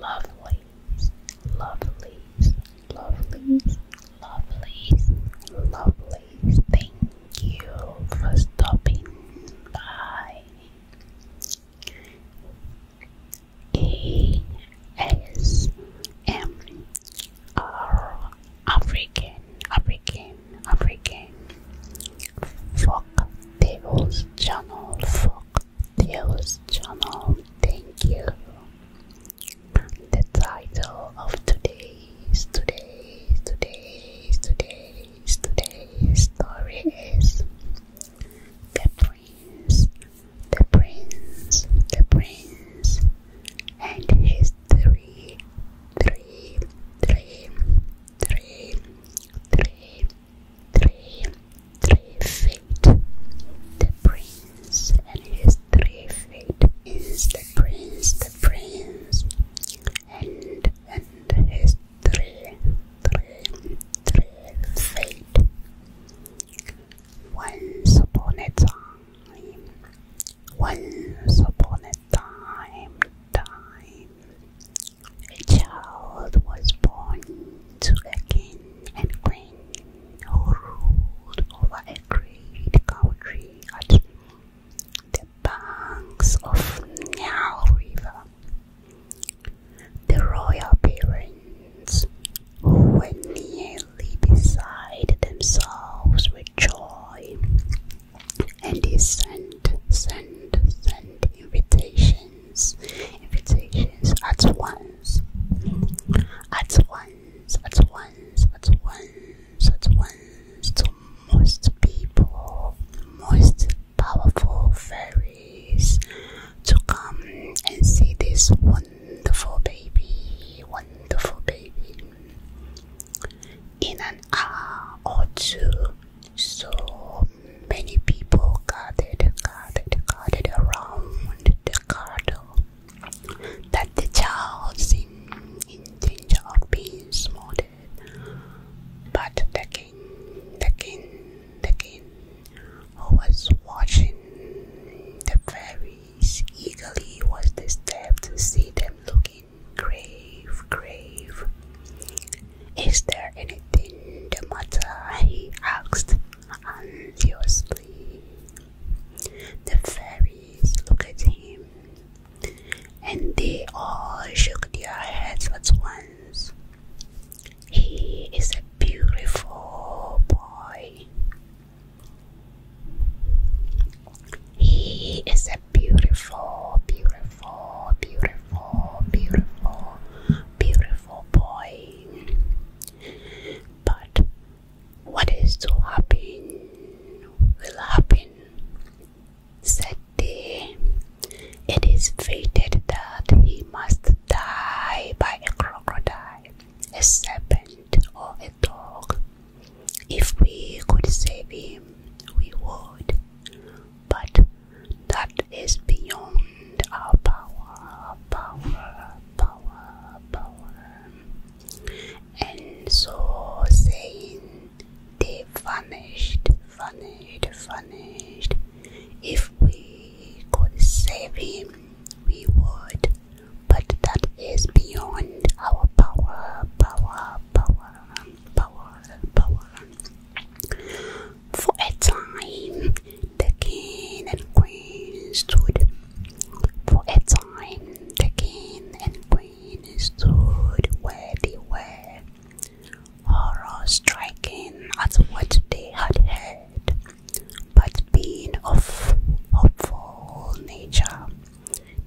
Lovelies, lovelies, lovelies, lovelies, lovelies. Thank you for stopping by. A S M R African, African, African. Folk Tables Channel, Folk Theo's channel. Thank you. The title of today's today's today's today's today's story is The Prince, the Prince, the Prince and his three three three three three three, three feet. The prince and his three feet is the prince, the prince, and and his three, three, three feet. Once upon a time, once upon a time, time. A child was born to a king and queen who ruled over a great country at the banks of Nile River. The royal parents, who were nearly beside themselves with joy, and they sent, sent, invitations invitations at once, at once, at once, at once to most people, most powerful fairies to come and see this wonderful baby, wonderful baby in an hour or two. So many people gathered, gathered, gathered around the cradle that the child seemed in danger of being smothered. But the king, the king, the king, who was watching the fairies eagerly, was disturbed to see them looking grave, grave. Is there anything the matter? he asked anxiously. The fairies looked at him, and they all shook their heads at once. He is a beautiful boy. He is a beautiful, beautiful, beautiful, beautiful, beautiful boy. But what is to happen will happen. Said they, it is fated that he must die by a crocodile, a serpent, or a dog. If we could save him, we would. But that is beyond our power, power, power, power. And so saying, they vanished, vanished, vanished. If we could save him, we would, but that is beyond our power, power, power, power, power. For a time, the king and queen stood. For a time, the king and queen stood where they were, horror striking at what they had heard. But being of hopeful nature,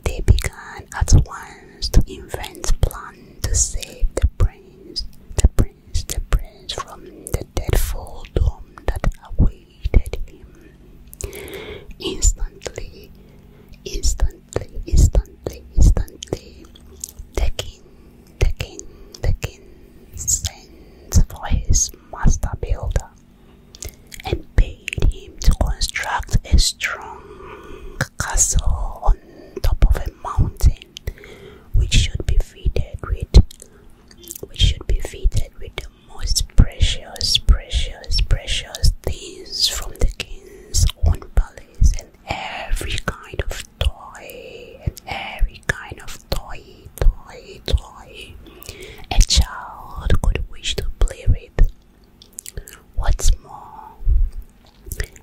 they began at once to invent plans to save the prince. The prince prince, the prince from the dreadful doom that awaited him. Instantly, instantly, instantly, instantly, the king, the king, the king sends for his master builder and paid him to construct a strong castle on top of a mountain which should be fitted with which should be fitted with the most precious, precious, precious things from the king's own palace and every kind of toy and every kind of toy, toy, toy a child could wish to play with. What's more,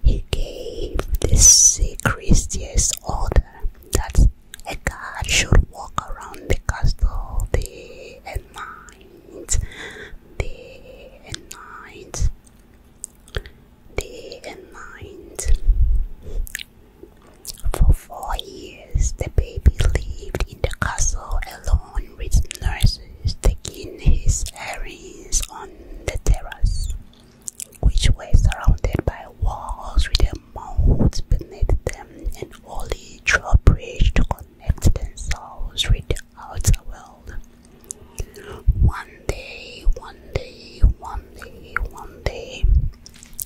he gave the secretiest order that a guard should walk around the castle day and night, day and night, day and night. For four years, the baby lived in the castle alone with nurses taking his errands on the terrace which were surrounded by walls with a moat beneath them and only drawbridge to connect themselves with the outer world. One day, one day, one day, one day,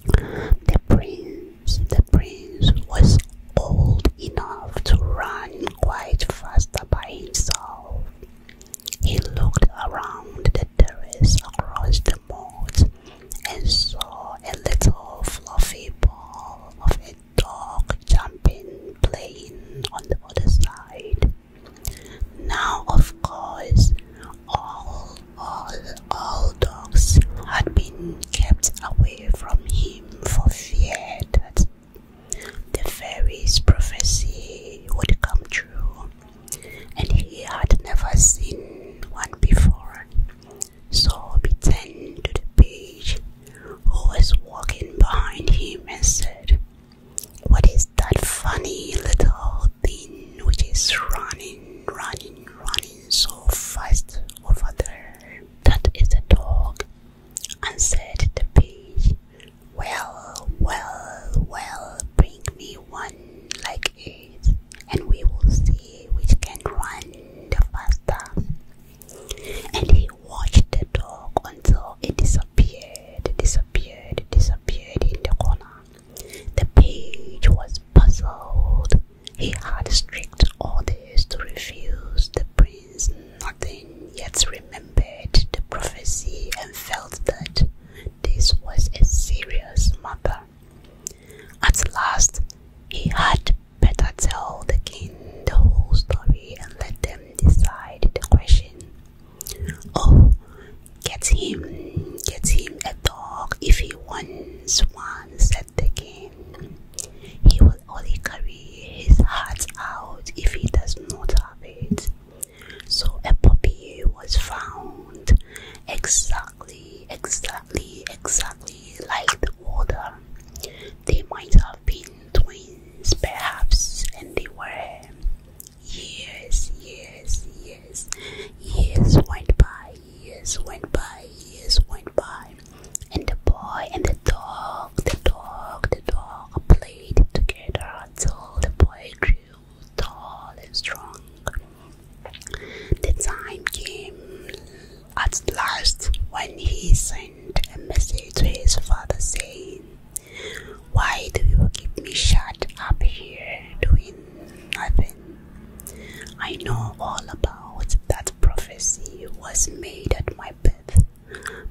the prince, the prince was old enough to run quite fast by himself. He looked around the terrace across the moat and saw a little fluffy ball of a dog jumping, playing on the other side. Now, of course, all, all, all dogs had been kept away from him for fear that the fairy's prophecy would come true and he had never seen one before. So he turned to the page who was walking behind him and said, What is that funny little thing which is running, running, running so fast over there? That is a dog, and said the page, Well, well, well, bring me one like it and we will see which can run the faster. And he watched the dog until it disappeared, disappeared, disappeared in the corner. The page was puzzled. He had strict orders to refuse the prince nothing, yet remembered the prophecy and felt that this was a serious matter. At last, he had better tell the king the whole story and let them decide the question. Oh, get him, get him a dog if he wants one, said the king. He will only carry his heart out if he does not have it. So a puppy was found, exactly, exactly, exactly like the water. They might have been twins, perhaps, and they were. Years, years, years, years went by, years went by, years went by, and the boy and the dog, the dog, the dog played together until the boy grew tall and strong. The time came at last when he sent a message to his father saying, Why do you keep me shut up here doing nothing? I know all about that prophecy was made at my birth,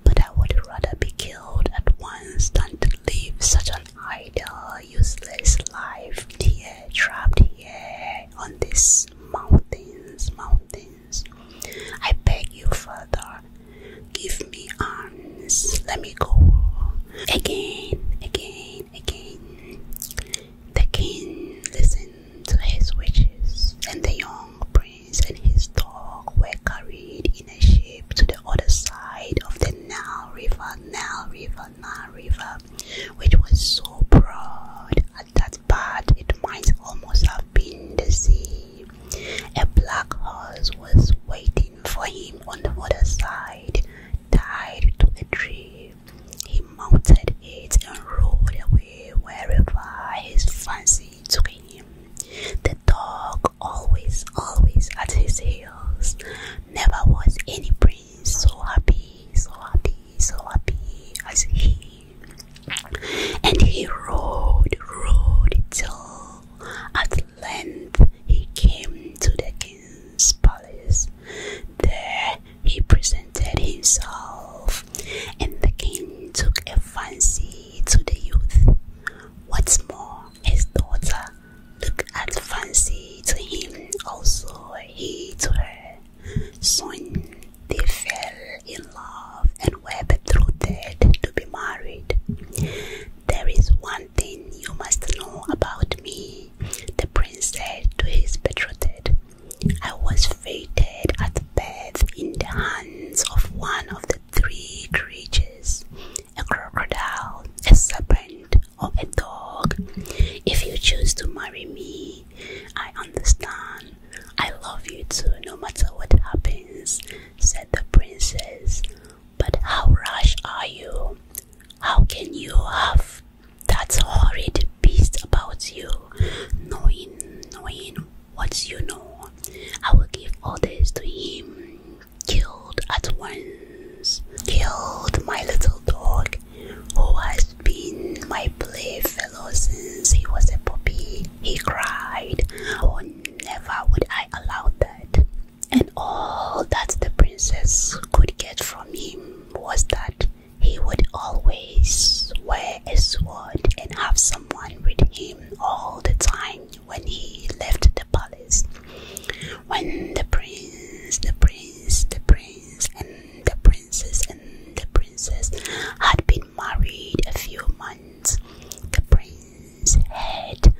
but I would rather be killed at once than to live such an idle, useless life here, trapped here on these mountains, mountains. I beg you, Father, give me arms, let me go. Again, again, again. The king listened to his wishes, and the young prince and his dog were carried in a ship to the other side of the Nile River, Nile River, Nile River which was so broad at that part it might almost have been the sea. A black horse was waiting for him on the other side, tied to a tree. He mounted it and rode away wherever his fancy took him. The dog always, always at his heels. Never was any prince so happy, so happy, so happy as he. And he rode, rode till at length he came to the king's palace. There he presented himself, and the king took a fancy to the youth. What's more, his daughter looked as fancy to him also he to her. Soon they fell in love and were betrothed to be married. There is one thing you must know about me, the prince said to his betrothed. I was fated at birth in the hands of one of the three creatures a crocodile, a serpent, or a dog. If you choose to marry me, I understand. I love you too, no matter what happens, said the princess. But how rash are you? How can you have that horrid beast about you, knowing, knowing what you know? I will give orders to him, killed at once killed my little dog, who has been my playfellow since he was a puppy. He cried, Oh, never would I allow that. And all that the princess could get from him was that he would always wear a sword and have someone with him all the time when he left the palace. When the prince, the prince, the prince, and the princess and the princess had been married a few months, the prince heard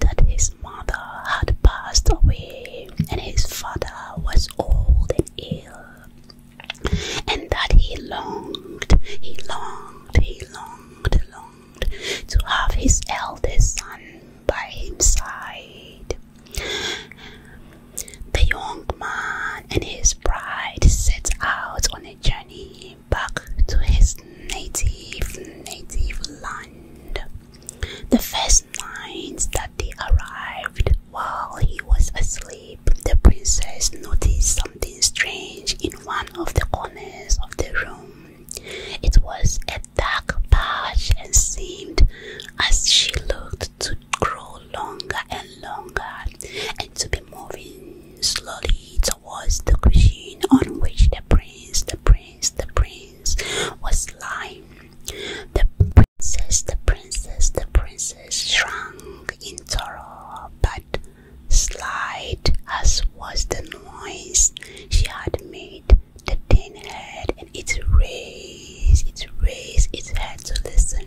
that his mother had passed away, and his father was old and ill, and that he longed, he longed, he longed, longed to have his eldest son by his side. The young man and his bride set out on a journey back to his native native land. The first night that they arrived, while he was asleep, the princess noticed something strange in one of the corners of the room. It was a dark patch and seemed, as she looked, to grow longer and longer and to be moving slowly towards the cushion on which the prince, the prince, the prince was lying. The princess, the princess, the princess shrunk in terror, but slight as was the noise she had made, the tin head and its raised, its raised its head to listen.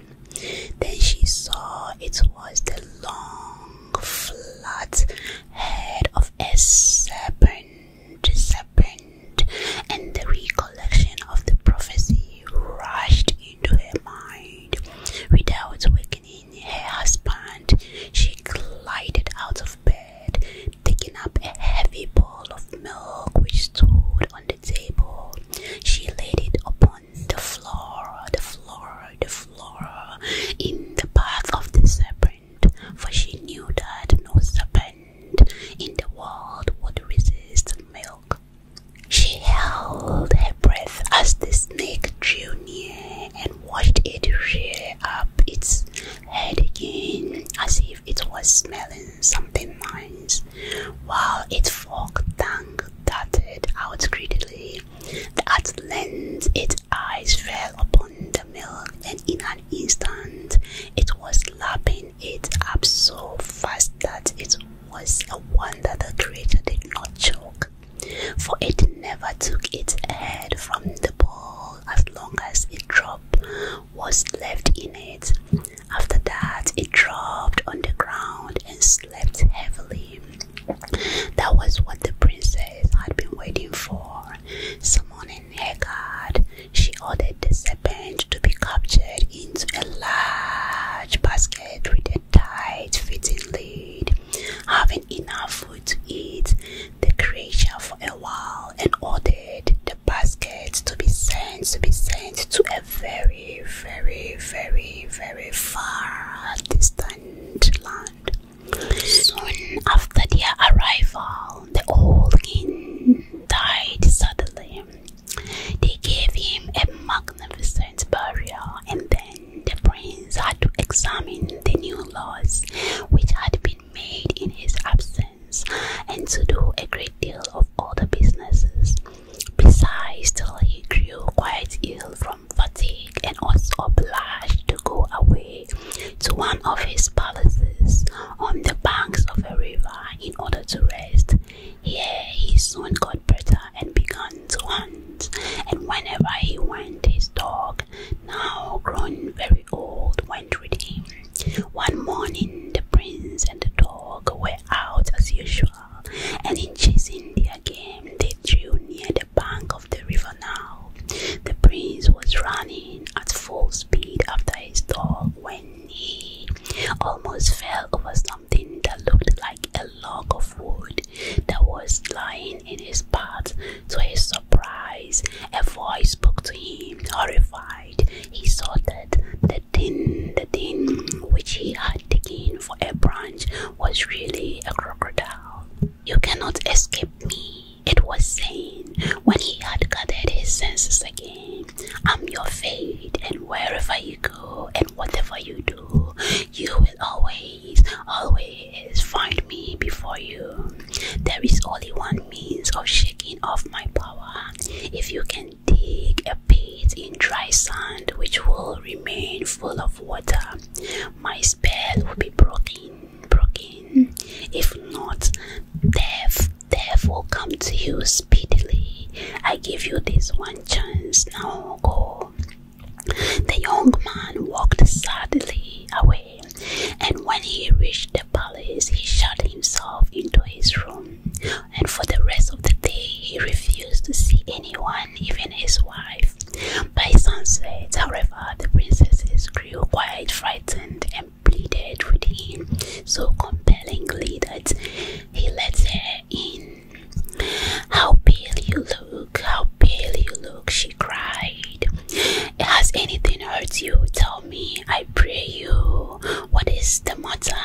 Then she saw it was the long, flat head of a serpent, serpent, and the recollection of the prophecy rushed into her mind. Without wakening her husband, she glided out of bed, taking up a heavy bowl of milk which stood on the table. She laid it upon the floor, the floor, the floor, in the path of the serpent, for she knew that no serpent in the world would resist milk. She held her breath as the snake drew near and watched it rear up its head again as if it was smelling something nice. While its forked tongue darted out greedily, at length its eyes fell upon the milk, and in an instant it was lapping it up so fast that it was a wonder the creature did not choke, for it never took its head from the bowl as long as it dropped was left in it. After that, it dropped on the ground and slept heavily. That was what the princess had been waiting for. Summoning her guard, she ordered the serpent to be captured into a large basket with a tight fitting lid. Having enough food to eat, the creature for a while and ordered basket to be sent, to be sent to a very, very, very, very far distant land. Soon after their arrival, the old king died suddenly. They gave him a magnificent burial, and then the prince had to examine the new laws which had been made in his absence and to do a great deal of other businesses. Besides, till he grew quite ill from fatigue and was obliged to go away to one of his palaces on the banks of a river in order to rest. Here he soon got better and began to hunt, and whenever he went, his dog, now grown very old, went with him. One morning, the prince and the dog were out as usual, and in chasing their game, they drew near the bank of the river now. The prince was running at full speed after his dog when he almost fell over something that looked like a log of wood that was lying in his path. To his surprise, a voice spoke to him, horrified he saw that the thing, the thing which he had taken for a branch was really a crocodile. You cannot escape me, it was saying when he had gathered his senses again. I'm your fate, and wherever you go and whatever you do, you will always, always find me before you. There is only one means of shaking off my power. If you can dig a pit in dry sand which will remain full of water, my spell will be broken, broken. If not, death, death will come to you speedily. I give you this one chance. Now go. The young man walked sadly away, and when he reached the palace, he shut himself into his room, and for the rest of the day he refused to see anyone, even his wife. By sunset, however, the princesses grew quite frightened and pleaded with him so compellingly that he let her in. How pale you look, how pale you look, she cried. Has anything hurt you? Tell me, I pray you, what is the matter?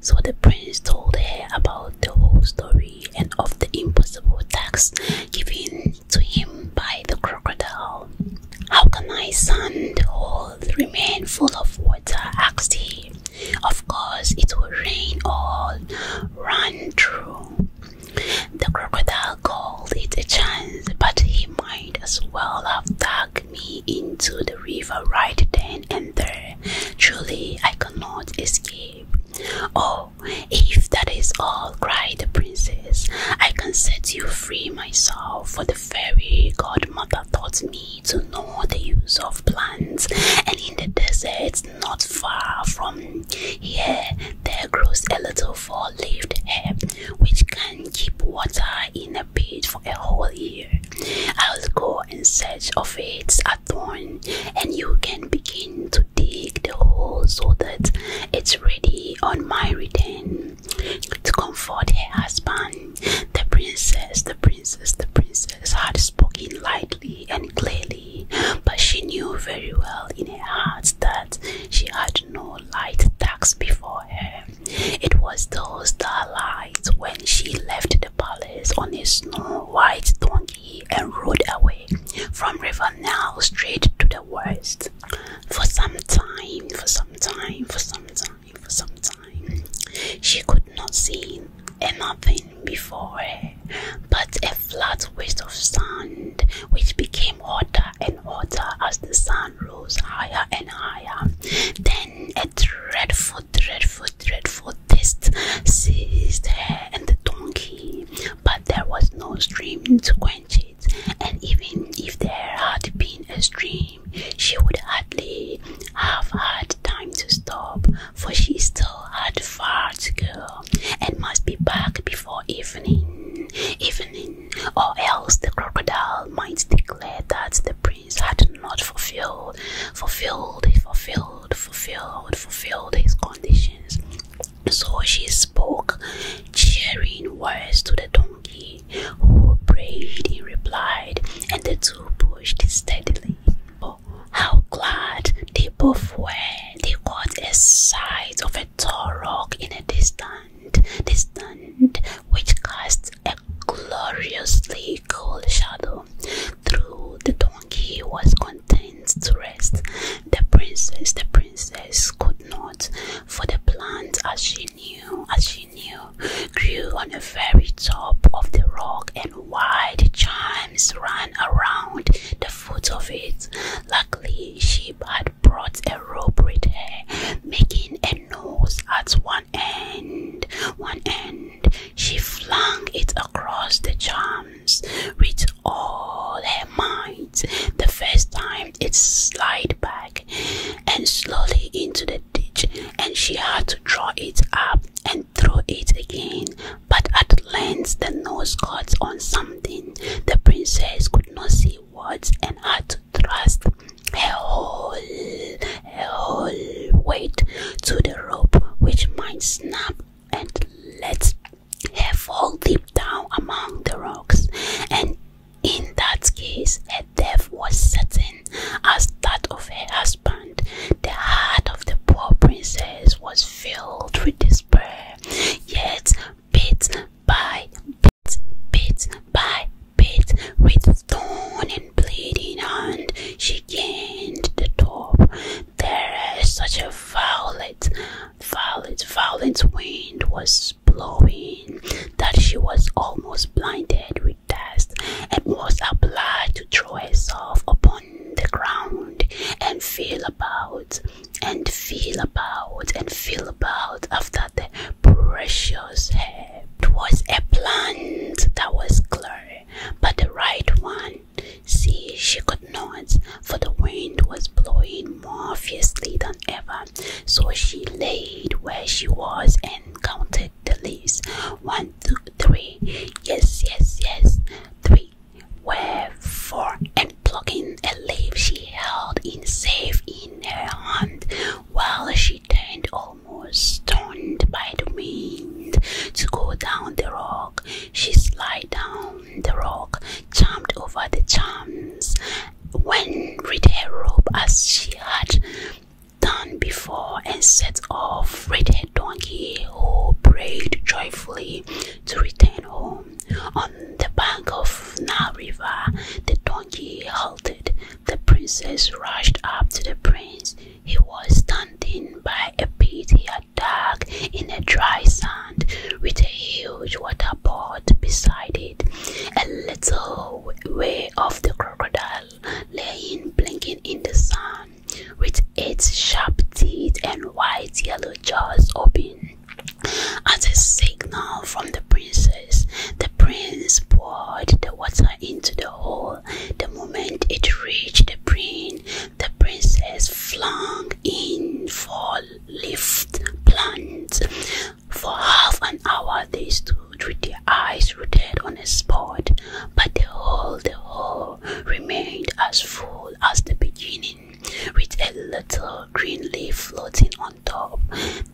So the prince told her about the whole story and of the impossible task given to him by the crocodile. How can my son, the remain full of water? asked he. Of course, it will rain all run through. The crocodile called it a chance, but he might as well have died me into the river right then and there. Truly, I cannot escape. Oh, if that is all, cried the princess, I can set you free myself, for the fairy godmother taught me to know the use of plants, and in the desert not far from here there grows a little four-leaved herb which can keep water in a pit for a whole year. I'll go in search of its at dawn, and you can begin to dig the hole so that it's ready on my return. To comfort her husband, the princess, the princess, the princess had spoken lightly and clearly, but she knew very well in her heart that she had no light task before her. It was those starlights when she left the palace on a snow-white donkey and rode away from River Nile straight to the west. For some time, for some time, for some time, for some time, she could not see anything before her but a flat waste of sand which became hotter and hotter as the sun rose higher and higher. Then a dreadful, dreadful, dreadful taste seized her and the donkey, but there was no stream to quench it, and even if there had been a stream, she would hardly have had time to stop, for she still had far to go and must be back before evening. Evening or else the crocodile might declare that the prince had not fulfilled, fulfilled, fulfilled, fulfilled, fulfilled his conditions. So she spoke cheering words to the donkey, who prayed in reply, and the two pushed steadily. how glad they both were! They caught a sight of a tall rock in a distant, distant, which cast a gloriously cold shadow. Through the donkey was content to rest. The princess, the princess could not, for the plant, as she knew, as she knew, grew on the very top of the rock, and wide chimes ran around the foot of it. Luckily, she had brought a rope with her, making a nose at one end. One end. She flung it across the charms with all her might. The first time it slid back and slowly into the ditch, and she had to draw it up and throw it again. But at length the nose caught on something. The princess could not see what and had to trust a whole, a whole weight to the rope, which might snap and let her fall deep down among the rocks. And in that case, her death was certain, as that of her husband. The heart of the poor princess was filled with despair, yet bit by bit by bit, with thorn and bleeding hand, she gained the top. There, such a violent, violent, violent wind was blowing that she was almost blinded with dust and was obliged to throw herself upon the ground and feel about and feel about and feel about after the precious hair left was a plant that was clear, but the right one, see, she could not, for the wind was blowing more fiercely than ever. So she laid where she was and counted the leaves. One, two, three. Yes, yes, yes. Three. Where four? And plucking a leaf she held it safe in her hand while she turned almost stunned by the wind to go down the rock. She slid down the rock, jumped over the chums, when with her rope as she had done before, and set off with her donkey, who brayed joyfully to return home. On the bank of Na River, the donkey halted the princess rushed up to the prince. He was standing by a pit he had dug in the dry sand, with a huge water pot beside it. A little way off, the crocodile lay blinking in the sun, with its sharp teeth and white yellow jaws open. At a signal from the princess, the prince poured the water into the hole. The moment it reached the prince, the princess flung in for leaf plants. For half an hour they stood with their eyes rooted on a spot, but the hole, the hole remained as full as the beginning, with a little green leaf floating on top.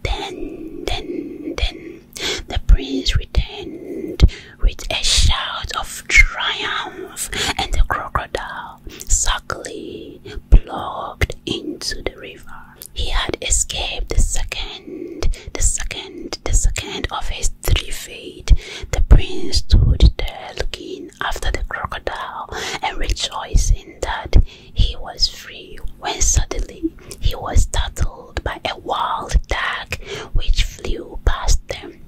Then, then, then the prince returned with a shout of triumph, and the crocodile sulkily plugged into the river. He had escaped the second, the second, the second of his three fate. The prince stood there looking after the crocodile and rejoiced in that he was free when suddenly he was startled by a wild duck which flew past them.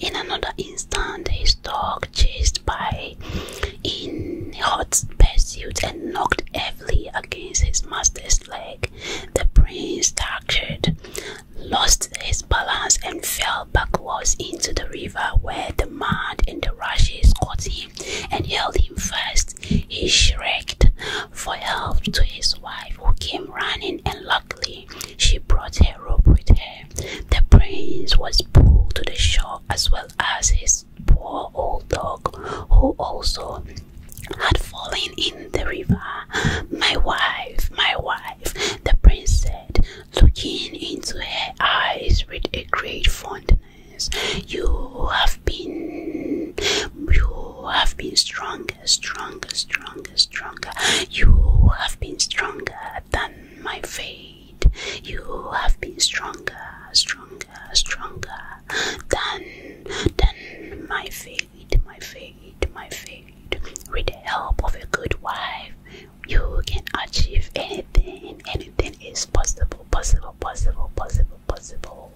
In another instant, his dog chased by in hot pursuit and knocked heavily against his master's leg. The prince staggered, lost his balance, and fell backwards into the river where the mud and the rushes caught him and held him fast. He shrieked for help to his wife, who came running, and luckily she brought her rope with her. The prince was pulled to the shore as well as his poor old dog, who also had fallen in the river. My wife, my wife, the prince said, looking into her eyes with a great fondness. You have you have been stronger, stronger, stronger, stronger. You have been stronger than my fate. You have been stronger, stronger, stronger than than my fate, my fate, my fate. With the help of a good wife, you can achieve anything. Anything is possible, possible, possible, possible, possible.